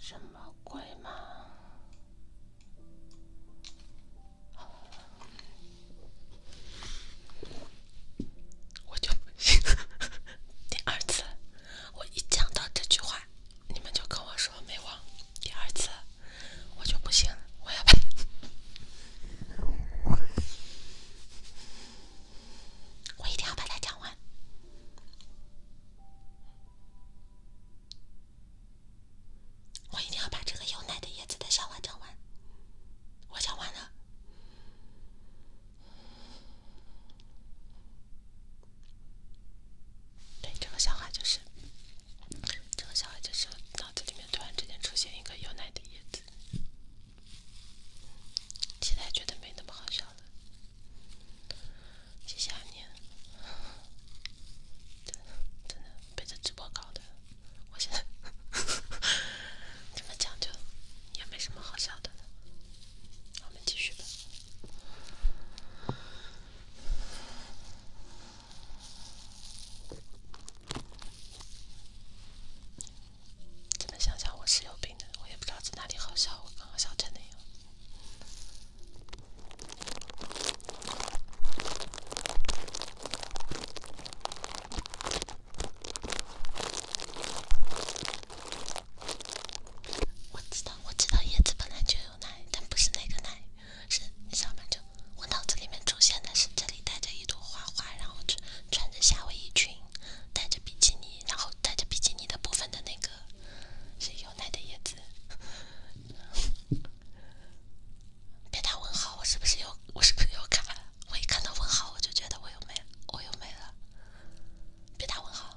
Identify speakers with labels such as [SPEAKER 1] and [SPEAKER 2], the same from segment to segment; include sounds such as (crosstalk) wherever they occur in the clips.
[SPEAKER 1] 什么鬼吗？我就不 (laughs) 信第二次，我一讲到这句话。你们就跟我说没忘，第二次我就不信了，我要把，我一定要把它讲完，我一定要把这个有奶的椰子的小话讲完，我讲完了。对，这个小孩，就是，这个小孩，就是脑子里面突然之间出现一个有奶的叶子，现在觉得没那么好笑了。谢谢阿念，真的真的被这直播搞的，我现在这 (laughs) 么讲究，也没什么好笑的了，我们继续吧。真的，想想我是有病的，我也不知道在哪里好笑，我刚刚笑真的呀。我知道，我知道，叶子本来就有奶，但不是那个奶，是你上面就我脑子里面出现的是这里带着一朵花花，然后穿穿着夏威夷裙，带着比基尼，然后带着比基尼的部分的那个是 (laughs) 有奶的叶子。别打问号，我是不是又？我是不是又卡了？我一看到问号，我就觉得我又没了，我又没了。别打问号。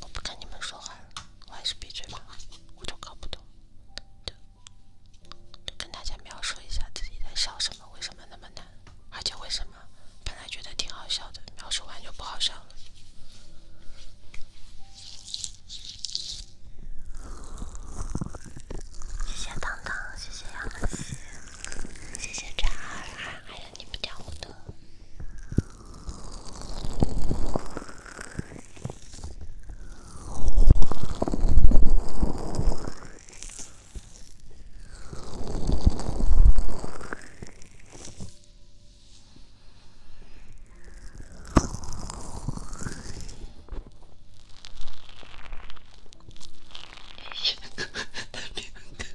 [SPEAKER 1] 我不跟你们说话了，我还是闭嘴吧。我就搞不懂，跟大家描述一下自己在笑什么，为什么那么难，而且为什么本来觉得挺好笑的，描述完就不好笑了。谢谢糖糖，谢谢杨文琪。谢谢张二哈，还有你们掉头的。叶南哥，叶南哥，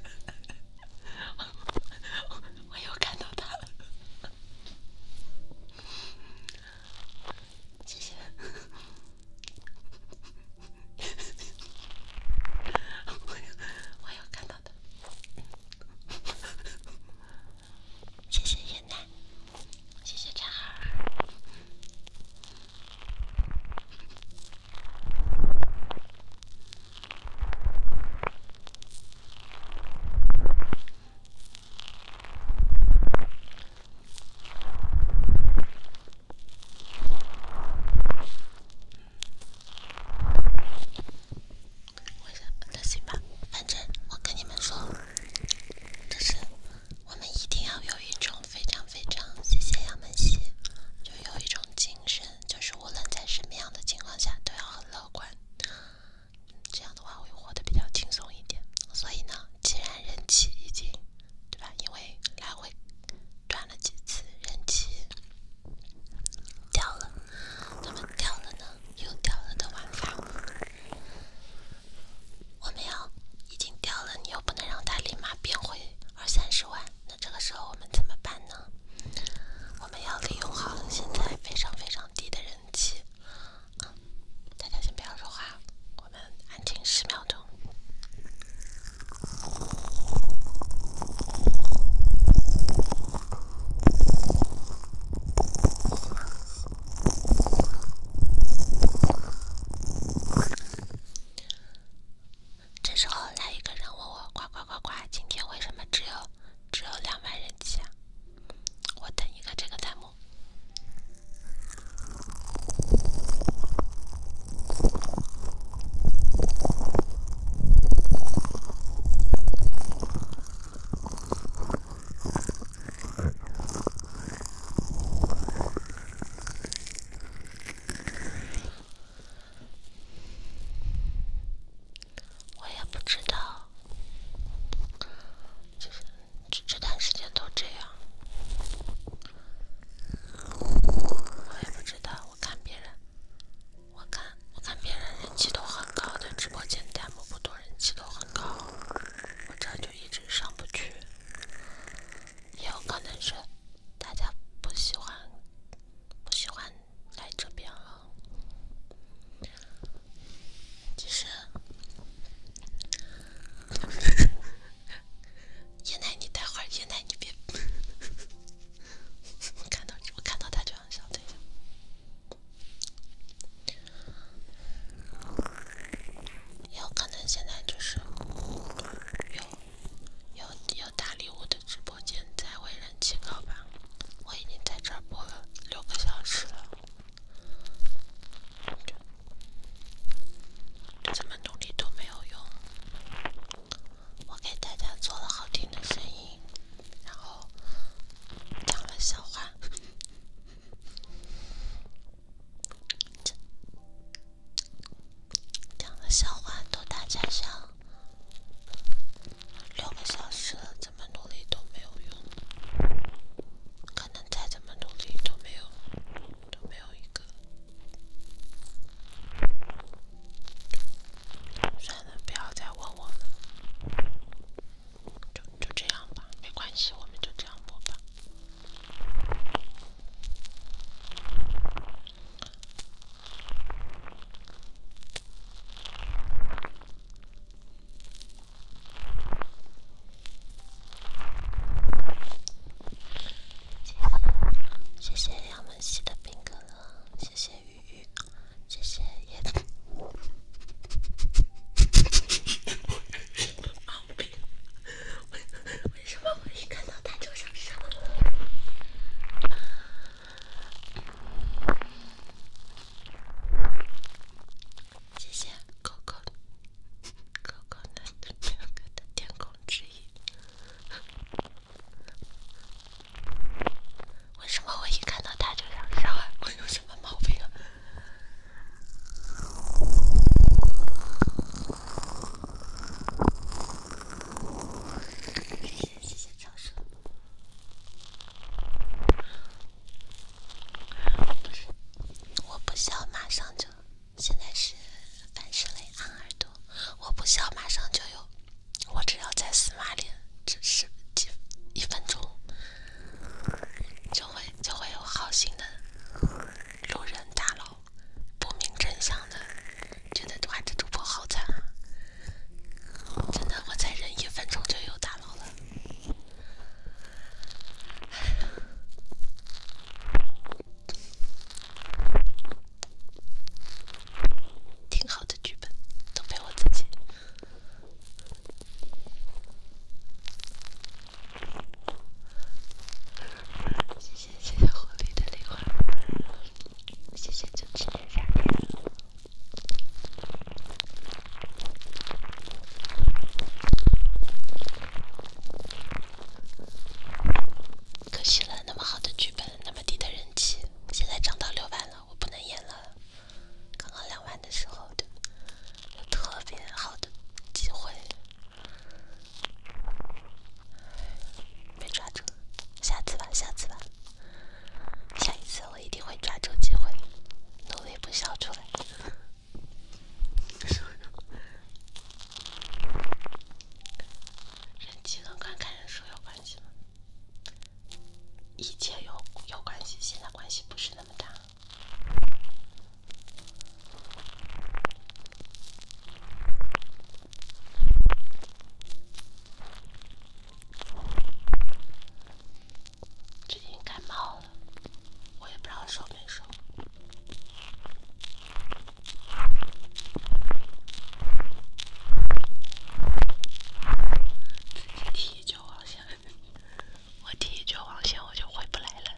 [SPEAKER 1] 我我有看到他，谢谢，我有我有看到他，谢谢叶南，谢谢渣孩。我想，那行吧。反正我跟你们说，这是我们一定要有一种。非常非常谢谢杨门喜，就有一种精神，就是无论在什么样的情况下都要很乐观，这样的话会活得比较轻松一点。所以呢，既然人气已经，对吧？因为来回转了几次，人气掉了，那么掉了呢？又掉了的玩法，我们要已经掉了，你又不能让它立马变回。二三十万，那这个时候我们怎么办呢？我们要利用好现在非常非常低的人气啊！大家先不要说话，我们安静十秒钟。这时候，来一个人问我：“呱呱呱呱，今天为什么只有只有两万人气啊？”我等一个这个弹幕。我也不知道，其实这这段时间都这样。我也不知道，我看别人，我看我看别人人气都很高，但直播间弹幕不多，人气都很高。我这就一直上不去。也有可能是大家不喜欢不喜欢来这边了。其实，爷爷，你待会儿，爷爷你别，我看到我看到他就很笑，等一下，也有可能现在就是有。有有大礼物的直播间在为人气高吧，我已经在这播了六个小时了，怎么努力都没有用。我给大家做了好听的声音，然后讲了笑话。讲个笑话逗大家笑。六个小时了，怎么努力都没有用，可能再怎么努力都没有都没有一个。算了，不要再问我了，就就这样吧，没关系，我们就这样播吧。谢谢杨文熙的冰可乐，谢谢雨雨，谢谢叶。为什么我一看到他就想杀？谢谢，高高高高的天空之翼。为什么我一看到他就想笑我有什么毛病啊？谢谢，谢谢掌声。不是，我不笑马上就，现在是樊世磊按耳朵，我不笑马上就有，我只要在死马里，只是几一分钟，就会就会有好心的路人大佬。不明真相的，觉得这孩主播好惨啊！真的，我再忍一分钟就有大佬了，挺好的剧本，都被我自己。谢谢谢谢狐狸的零花，谢谢就吃九七。可惜了，那么好的剧本，那么低的人气，现在涨到六万了，我不能演了。刚刚两万的时候的特别好的机会。没抓住，下次吧，下次吧，下一次我一定会抓住机会，努力不笑出来。人气和观看人数有关系吗？以前有有关系，现在关系不是那么大。最近感冒了，我也不知道收没收。自己第一局网我第一局网我就回不来了。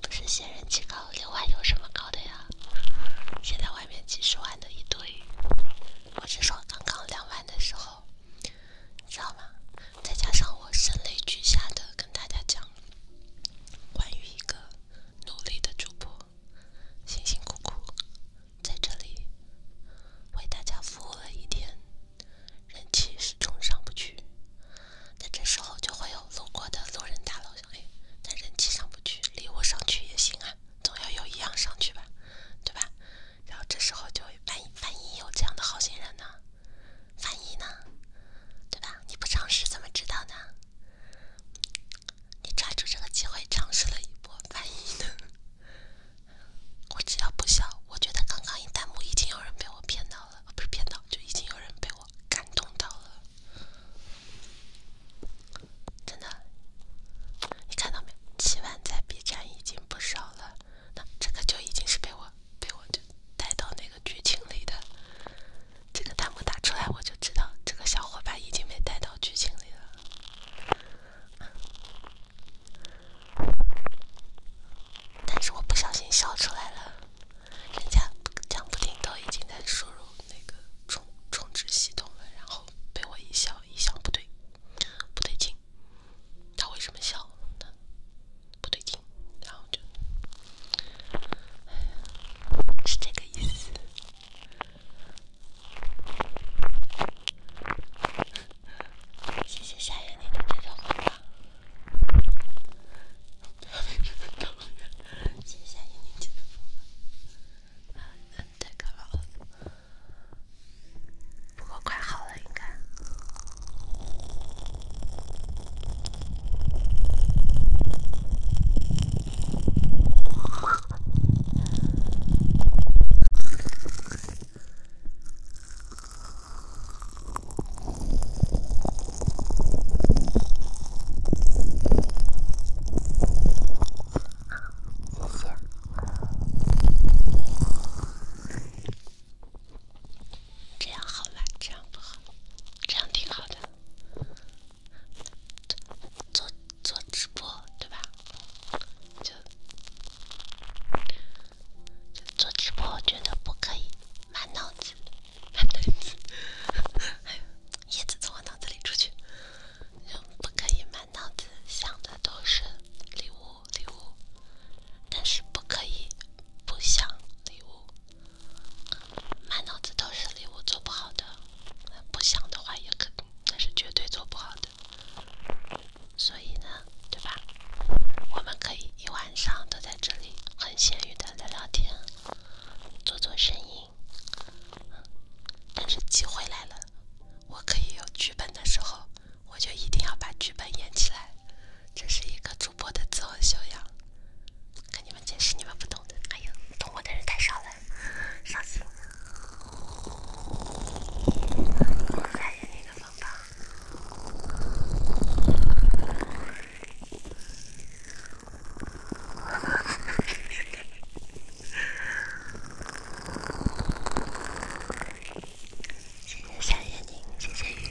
[SPEAKER 1] 不是嫌人气高，六万有什么高的呀？现在外面几十万的一堆。我是说，刚刚两万的时候，你知道吗？再加上我声泪俱下的跟大家讲，关于一个努力的主播，辛辛苦苦在这里为大家服务了一天，人气始终上不去。那这时候就会有路过的路人大老兄，哎，但人气上不去，礼物上去也行啊，总要有一样上去吧，对吧？然后这时候就万一万一有这样的好心人呢？万一呢？对吧？你不尝试怎么知道呢？你抓住这个机会尝试了一波，万一呢？我只要不笑，我觉得刚刚一弹幕已经有人被我骗到了，不是骗到，就已经有人被我。感动到了，真的，你看到没有？七万在 B 站已经不少了，那这个就已经是被我被我就带到那个剧情里的。这个弹幕打出来，我就知道这个小伙伴已经被带到剧情里了。但是我不小心笑出来了。人家讲不定都已经在输入那个充充值系统了，然后被我一笑，一笑不对，不对劲，他为什么笑呢？不对劲，然后就，是这个意思。谢谢夏月你的这张花。谢谢，宁静的风。啊，嗯，太感冒了，不过快好了，应该。呵呵，这样好嘛？这样不好，这样挺好的。做做直播，对吧？就。做直播我觉得不可以满脑子，(laughs) 满脑子，叶子从我脑子里出去，嗯，不可以满脑子想的都是礼物礼物，但是不可以不想礼物，满脑子都是礼物做不好的，不想的话也可，定那是绝对做不好的，所以呢。对吧？我们可以一晚上都在这里很闲鱼的聊聊天，做做声音。但是机会来了，我可以有剧本的时候，我就一定要把剧本演起来。这是一个主播的自我修养，跟你们解释你们不懂的。哎呀，懂我的人太少了，伤心。我再演一个风暴。谢谢小月宁，谢谢雨。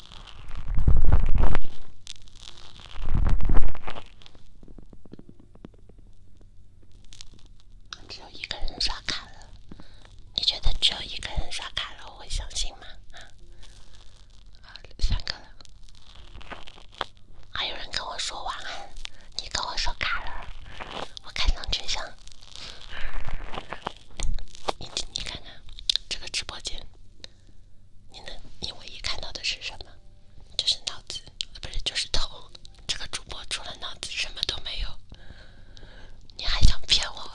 [SPEAKER 1] 只有一个人刷卡了，你觉得只有一个人刷卡了，我会相信吗？啊，三个人。还有人跟我说晚安，你跟我说卡了，我看上去像。你你看看这个直播间，你能你唯一看到的是什么？就是脑子，不是就是头。这个主播除了脑子什么都没有，你还想骗我？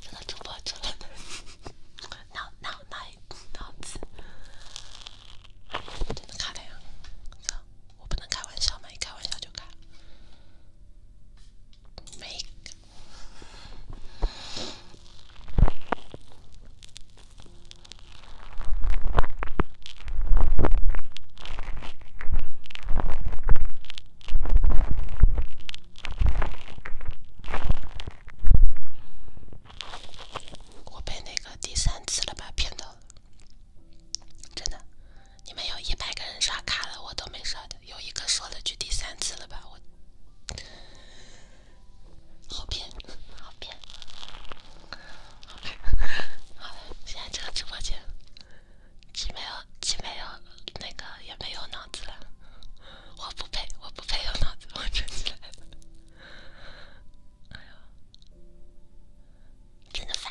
[SPEAKER 1] 这个主播除了脑脑脑脑子，真的卡了呀！我不能开玩笑嘛，一开玩笑就卡。我被那个第三次了吧骗到，了，真的。你们有一百个人刷卡了，我都没刷的。有一个说了句第三次了吧，我好骗，好骗，好了。现在这个直播间，既没有，既没有那个，也没有脑子。了。我不配，我不配有脑子，我真是了。哎呀，真的烦。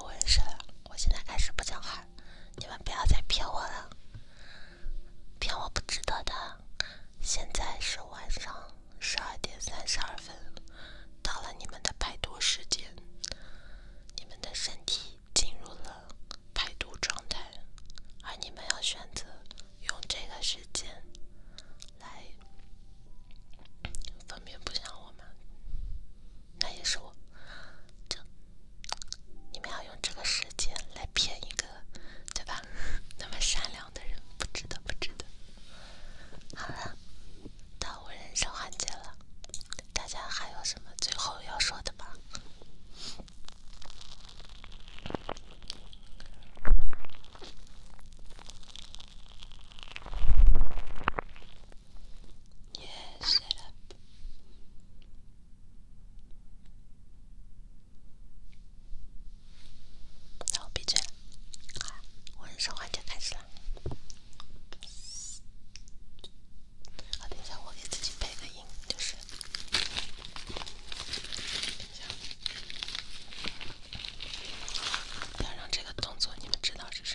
[SPEAKER 1] 我也是，我现在开始不讲话，你们不要再骗我了，骗我不值得的。现在是晚上十二点三十二分，到了你们的排毒时间，你们的身体进入了排毒状态，而你们要选择用这个时间来分辨不像我。那也是我，就你们要用这个时间来骗一个，对吧？那么善良的人不值得，不值得。好了，到我人生环节了，大家还有什么最后要说的吗？Yes, shut 闭嘴了。好，我开始说话就开始了。好，等一下，我给自己配个音，就是。要让这个动作，你们知道是什么。